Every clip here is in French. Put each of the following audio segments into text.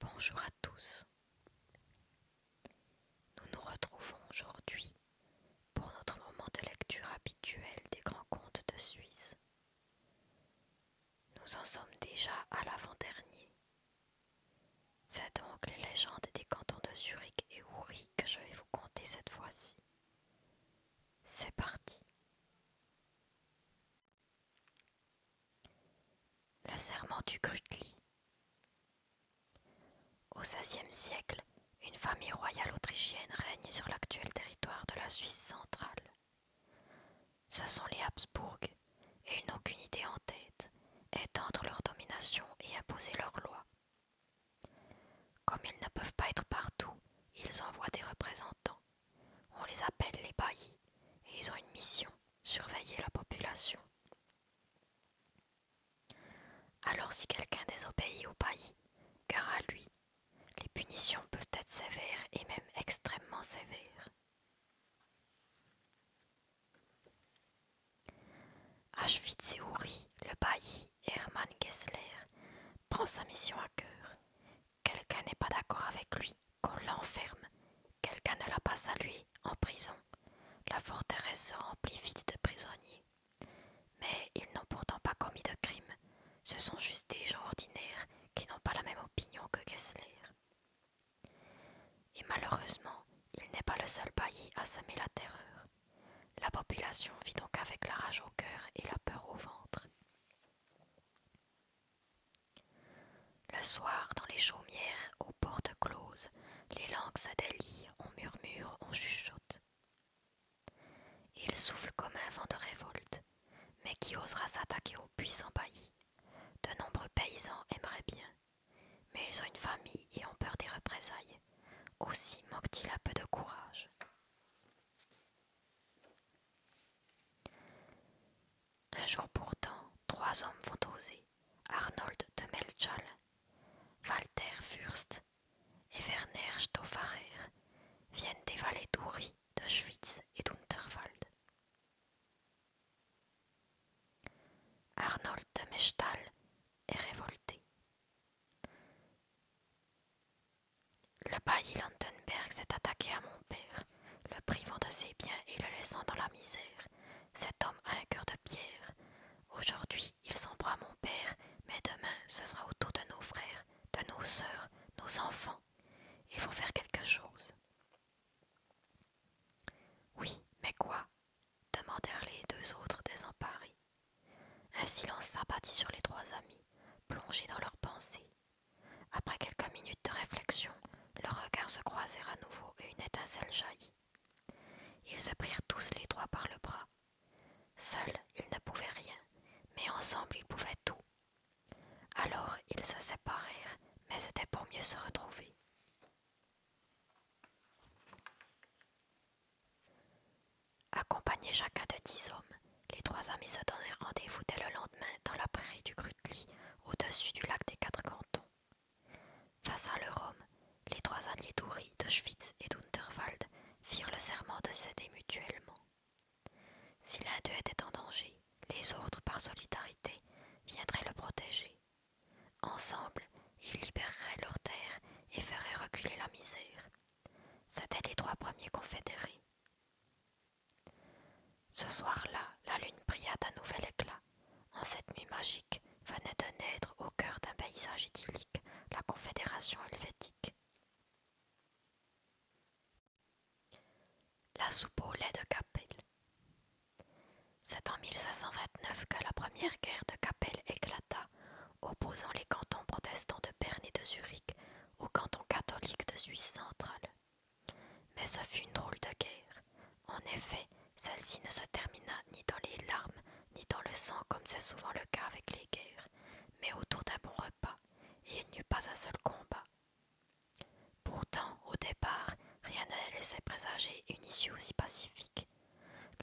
Bonjour à tous. Nous nous retrouvons aujourd'hui pour notre moment de lecture habituel des grands contes de Suisse. Nous en sommes déjà à l'avant-dernier. C'est donc les légendes des cantons de Zurich et Uri que je vais vous conter cette fois-ci. C'est parti. Le serment du Grutli. Au XVIe siècle, une famille royale autrichienne règne sur l'actuel territoire de la Suisse centrale. Ce sont les Habsbourg, et ils n'ont qu'une idée en tête, étendre leur domination et imposer leurs lois. Comme ils ne peuvent pas être partout, ils envoient des représentants. On les appelle les baillis et ils ont une mission, surveiller la population. Alors si quelqu'un désobéit au bailli, car à lui, les punitions peuvent être sévères et même extrêmement sévères. houri le bailli, Hermann Gessler prend sa mission à cœur. Quelqu'un n'est pas d'accord avec lui, qu'on l'enferme. Quelqu'un ne la pas salué, en prison. La forteresse se remplit vite de prisonniers. Mais ils n'ont pourtant pas commis de crime. Ce sont juste des gens ordinaires qui n'ont pas la même opinion que Gessler. Et malheureusement, il n'est pas le seul bailli à semer la terreur. La population vit donc avec la rage au cœur et la peur au ventre. Le soir, dans les chaumières, aux portes closes, les langues se délient, on murmure, on chuchote. Il souffle comme un vent de révolte, mais qui osera s'attaquer aux puissants baillis De nombreux paysans aimeraient bien, mais ils ont une famille et ont peur des représailles. Aussi manque-t-il un peu de courage. Un jour pourtant, trois hommes vont oser, Arnold de Melchal, Walter Fürst et Werner Stoffarer, viennent des vallées d'Uri, de Schwyz et d'Unterwald. Arnold de Mechtal est révolté. Le bailli Landenberg s'est attaqué à mon père, le privant de ses biens et le laissant dans la misère. Cet homme a un cœur de pierre. Aujourd'hui, il à mon père, mais demain, ce sera autour de nos frères, de nos sœurs, nos enfants. Il faut faire quelque chose. Oui, mais quoi demandèrent les deux autres désemparés. Un silence s'abattit sur les trois amis, plongés dans leurs pensées. Après quelques minutes de réflexion, leurs regards se croisèrent à nouveau et une étincelle jaillit. Ils se prirent tous les trois par le bras. Seuls, ils ne pouvaient rien, mais ensemble, ils pouvaient tout. Alors, ils se séparèrent, mais c'était pour mieux se retrouver. Accompagnés chacun de dix hommes, les trois amis se donnèrent rendez-vous dès le lendemain dans la prairie du Grutli, au-dessus du lac des Quatre Cantons. Face à leur homme, les trois alliés d'Uri, de Schwitz et d'Unterwald firent le serment de s'aider mutuellement. Si l'un d'eux était en danger, les autres, par solidarité, viendraient le protéger. Ensemble, ils libéreraient leurs terres et feraient reculer la misère. C'étaient les trois premiers confédérés. Ce soir-là, la lune brilla d'un nouvel éclat. En cette nuit magique, venait de naître au cœur d'un paysage idyllique la Confédération helvétique. La soupe au lait de Capelle. C'est en 1529 que la première guerre de Capelle éclata opposant les cantons protestants de Berne et de Zurich aux cantons catholiques de Suisse centrale. Mais ce fut une drôle de guerre. En effet, celle-ci ne se termina ni dans les larmes, ni dans le sang, comme c'est souvent le cas avec les guerres, mais autour d'un bon repas, et il n'y eut pas un seul combat. Pourtant, au départ, rien ne laissait présager une issue aussi pacifique.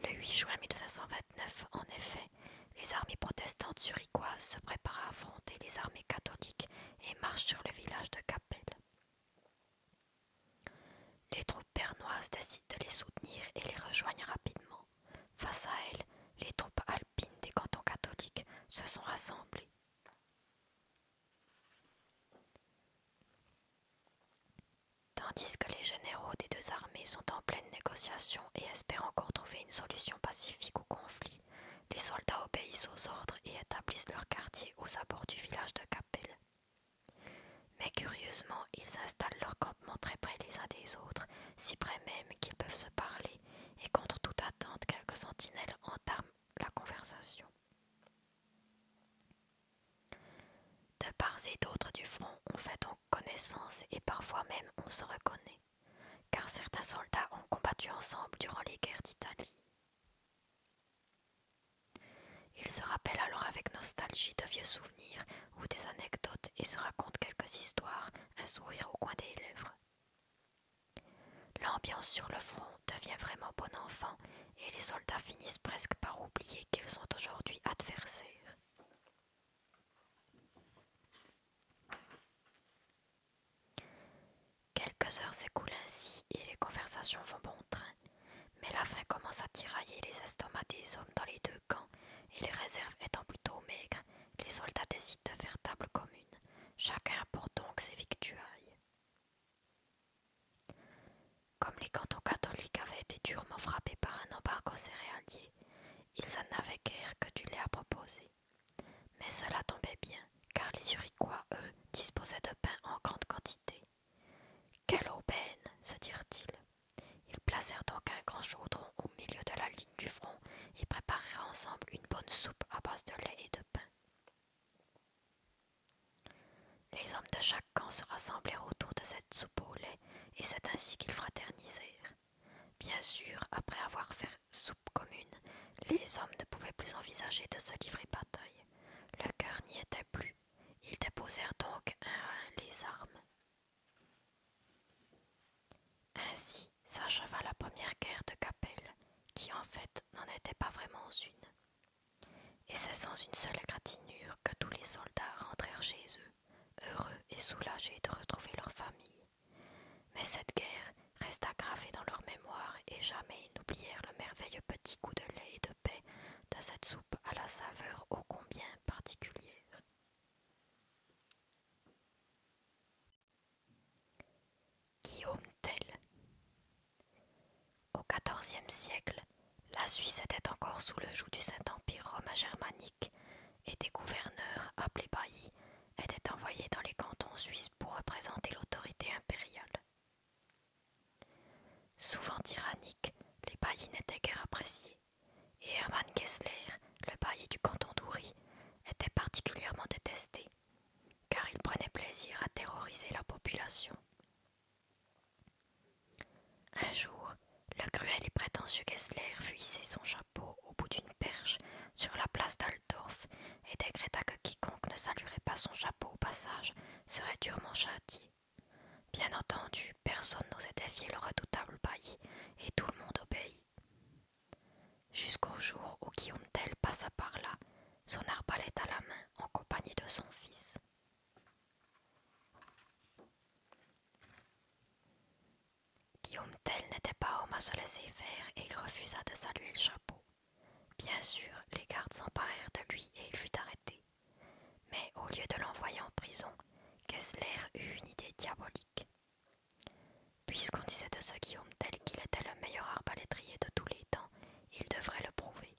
Le 8 juin 1529, en effet, les armées protestantes se prépare à affronter les armées catholiques et marche sur le village de Capel. Les troupes bernoises décident de les soutenir et les rejoignent rapidement. Face à elles, les troupes alpines des cantons catholiques se sont rassemblées. Tandis que les généraux des deux armées sont en pleine négociation et espèrent encore trouver une solution pacifique au conflit, les soldats obéissent aux ordres et établissent leur quartier aux abords du village de Capel. Mais curieusement, ils installent leur campement très près les uns des autres, si près même qu'ils peuvent se parler, et contre toute attente, quelques sentinelles entament la conversation. De part et d'autre du front, on fait donc connaissance et parfois même on se reconnaît car certains soldats ont combattu ensemble durant les guerres d'Italie. Ils se rappellent alors avec nostalgie de vieux souvenirs ou des anecdotes et se racontent quelques histoires, un sourire au coin des lèvres. L'ambiance sur le front devient vraiment bon enfant et les soldats finissent presque par oublier qu'ils sont aujourd'hui adversaires. Quelques heures s'écoulent ainsi et les conversations vont bon train, mais la faim commence à tirailler les estomacs des hommes dans les deux camps, et les réserves étant plutôt maigres, les soldats décident de faire table commune. Chacun apporte donc ses victuailles. Comme les cantons catholiques avaient été durement frappés par un embargo céréalier, ils en avaient guère que du lait à proposer. Mais cela tombait bien, car les Zurichois, eux, disposaient de pain en grande quantité. Quelle aubaine se dirent-ils. Ils placèrent donc un grand chaudron au milieu de la ligne du front et préparèrent ensemble une bonne soupe à base de lait et de pain. Les hommes de chaque camp se rassemblèrent autour de cette soupe au lait, et c'est ainsi qu'ils fraternisèrent. Bien sûr, après avoir fait soupe commune, les hommes ne pouvaient plus envisager de se livrer bataille. Le cœur n'y était plus. Ils déposèrent donc un à un les armes. Ainsi s'acheva la première guerre de Capelle, qui en fait n'en était pas vraiment une. Et c'est sans une seule égratignure que tous les soldats rentrèrent chez eux heureux et soulagés de retrouver leur famille. Mais cette guerre resta gravée dans leur mémoire et jamais ils n'oublièrent le merveilleux petit coup de lait et de paix de cette soupe à la saveur ô combien particulière. Guillaume Tell Au XIVe siècle, la Suisse était encore sous le joug du Saint-Empire romain germanique et des gouverneurs appelés baillis étaient envoyés dans les cantons suisses pour représenter l'autorité impériale. Souvent tyranniques, les baillis n'étaient guère appréciés, et Hermann Kessler, le bailli du canton d'Uri, était particulièrement détesté, car il prenait plaisir à terroriser la population. Un jour, le cruel et prétentieux Gessler fuissait son chapeau au bout d'une perche sur la place d'Aldorf et décréta que quiconque ne saluerait pas son chapeau au passage serait durement châtié. Bien entendu, personne n'osait défier le redoutable bailli et tout le monde obéit. Jusqu'au jour où Guillaume Tell passa par là, son arbalète à la main en compagnie de son fils. Guillaume Tell n'était pas homme à se laisser faire et il refusa de saluer le chapeau. Bien sûr, les gardes s'emparèrent de lui et il fut arrêté. Mais au lieu de l'envoyer en prison, Kessler eut une idée diabolique. Puisqu'on disait de ce Guillaume Tell qu'il était le meilleur arbalétrier de tous les temps, il devrait le prouver.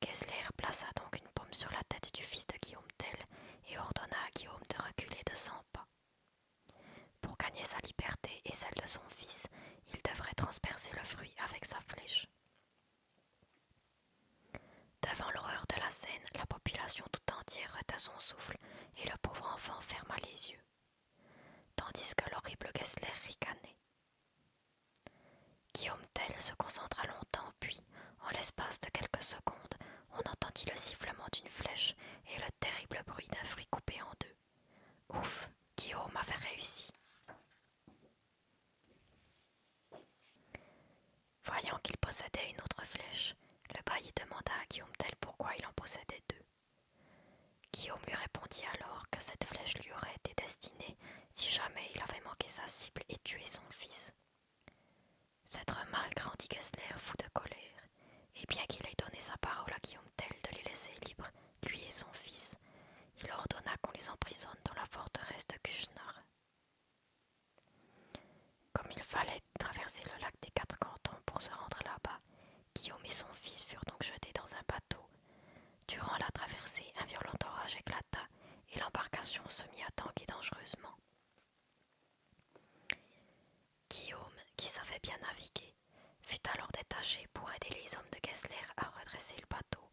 Kessler plaça donc une pomme sur la tête du fils de Guillaume Tell et ordonna à Guillaume de reculer de cent pas. Pour gagner sa liberté et celle de son fils, il devrait transpercer le fruit avec sa flèche. Devant l'horreur de la scène, la population tout entière retint son souffle et le pauvre enfant ferma les yeux, tandis que l'horrible Gessler ricanait. Guillaume Tell se concentra longtemps puis, en l'espace de quelques secondes, on entendit le sifflement d'une flèche et le terrible bruit d'un fruit coupé en deux. Ouf, Guillaume avait réussi. Voyant qu'il possédait une autre flèche, le bailli demanda à Guillaume tel pourquoi il en possédait deux. Guillaume lui répondit alors que cette flèche lui aurait été destinée si jamais il avait manqué sa cible et tué son fils. Cette remarque rendit Gessler fou de colère, et bien qu'il ait donné sa parole à Guillaume Tell de les laisser libres, lui et son fils, il ordonna qu'on les emprisonne dans la forteresse de Kuchnar. Comme il fallait traverser le lac des quatre cantons pour se rendre là-bas, Guillaume et son fils furent donc jetés dans un bateau. Durant la traversée, un violent orage éclata et l'embarcation se mit à tanguer dangereusement. Guillaume, qui savait bien naviguer, fut alors détaché pour aider les hommes de Gessler à redresser le bateau.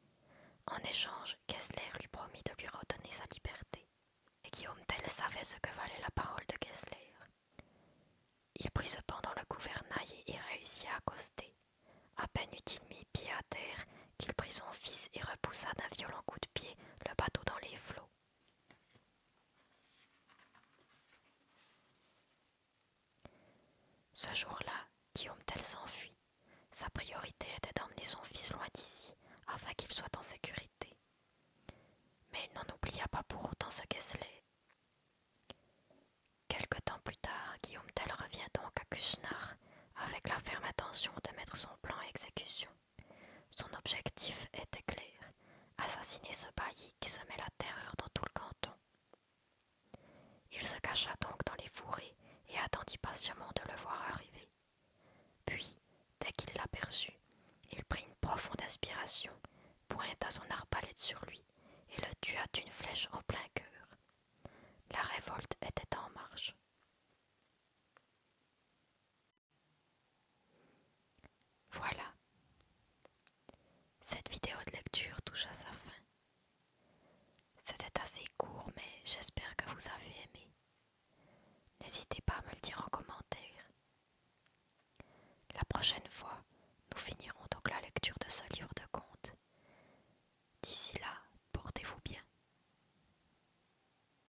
En échange, Gessler lui promit de lui redonner sa liberté. Et Guillaume tel savait ce que valait la parole de Gessler. Il prit cependant le gouvernail et réussit à accoster. À peine eut-il mis pied à terre qu'il prit son fils et repoussa d'un violent coup de pied le bateau dans les flots. Ce jour-là, Guillaume Tell s'enfuit. Sa priorité était d'emmener son fils loin d'ici, afin qu'il soit en sécurité. Mais il n'en oublia pas pour autant ce Kessler. Quelque temps plus tard, Guillaume Tell revient donc à Kushnar avec la ferme intention de mettre son plan à exécution. Son objectif était clair, assassiner ce bailli qui semait la terreur dans tout le canton. Il se cacha donc dans les fourrés et attendit patiemment de le voir arriver. Puis, dès qu'il l'aperçut, il prit une profonde inspiration, pointa son arbalète sur lui et le tua d'une flèche en plein cœur. La révolte était en marche. Voilà. Cette vidéo de lecture touche à sa fin. C'était assez court, mais j'espère que vous avez aimé. N'hésitez pas à me le dire en commentaire. La prochaine fois, nous finirons donc la lecture de ce livre de contes. D'ici là, portez-vous bien.